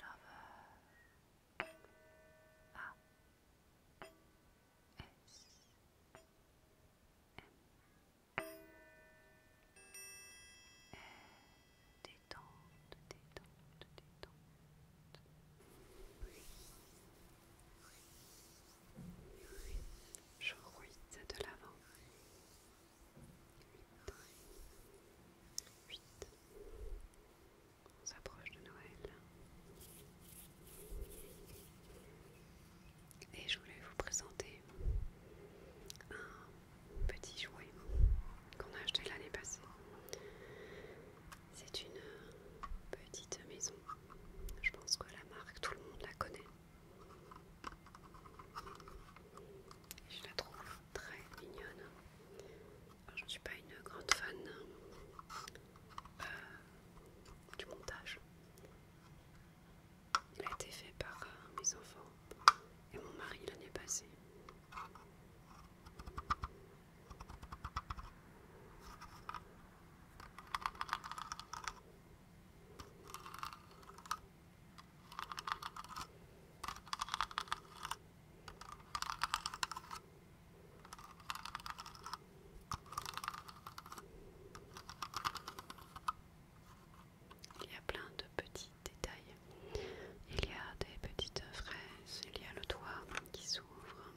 Lover. A. S. M. Et détente, détente, détente. Je ruite de l'avant. 8. On s'approche de Noël. Et je voulais vous présenter un petit jouet qu'on a acheté l'année passée. C'est une petite maison. Je pense que la marque, tout le monde la connaît. Je la trouve très mignonne. je ne suis pas une grande fan euh, du montage. Il a été fait par euh, mes enfants et mon mari l'année passée. Il y a plein de petits détails. Il y a des petites fraises, il y a le toit qui s'ouvre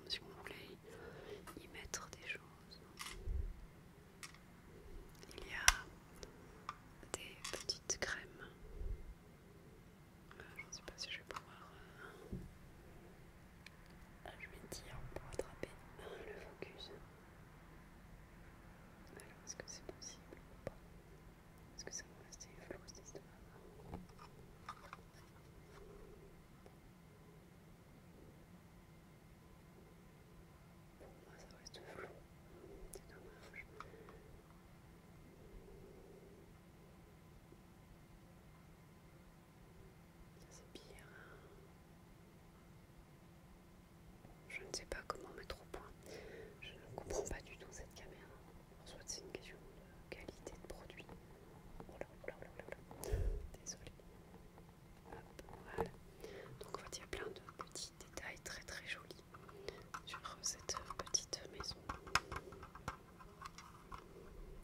si vous voulez y mettre des choses. Il y a des petites crèmes. Euh, je ne sais pas si je vais pouvoir. Je vais dire pour attraper le focus. Alors, est-ce que c'est possible ou pas Est-ce que ça va rester flou pour moi, ça reste flou, c'est dommage. Ça, c'est pire. Je ne sais pas comment mettre au point. Je ne comprends pas du tout cette caméra. En soit, c'est une question de qualité de produit. Désolée. Donc il y a plein de petits détails très très jolis sur cette petite maison.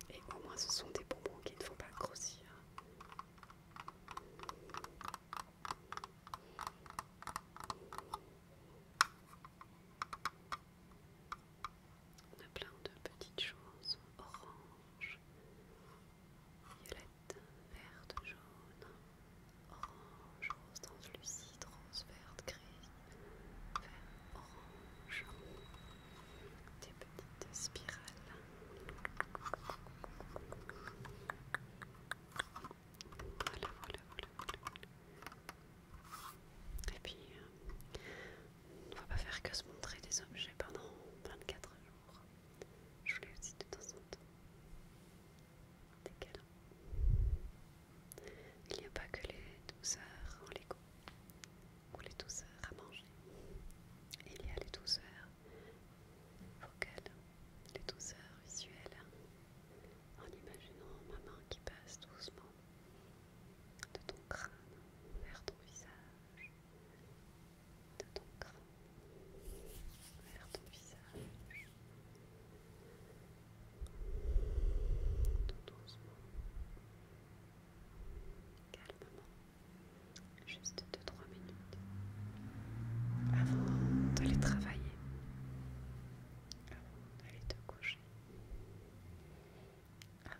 Et au moins, ce sont des bonbons qu'il ne faut pas grossir. On a plein de petites choses orange, violette, verte, jaune, orange, rose translucide, rose verte, gris, vert, orange, des petites spirales. voilà, voilà, voilà. Et puis, euh, on ne va pas faire que se montrer des objets pendant 24 jours. Je voulais aussi de temps en temps des câlins. Il n'y a pas que les douceurs en Lego ou les douceurs à manger. Il y a les douceurs vocales, les douceurs visuelles, en imaginant ma main qui passe doucement de ton crâne vers ton visage, de ton crâne vers ton visage, tout doucement, calmement, juste 2-3 minutes avant d'aller travailler, avant d'aller te coucher vous,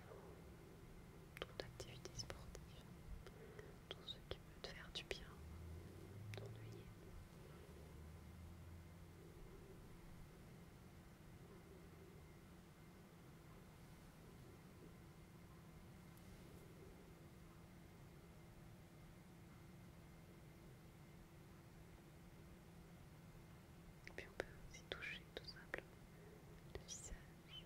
toute activité sportive, tout ce qui peut te faire du bien, t'ennuyer. Et puis on peut aussi toucher tout simplement le visage.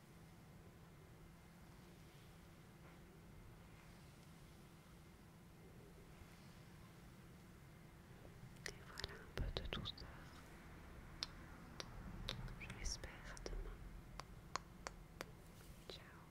Et voilà un peu de douceur. Je l'espère demain. Ciao.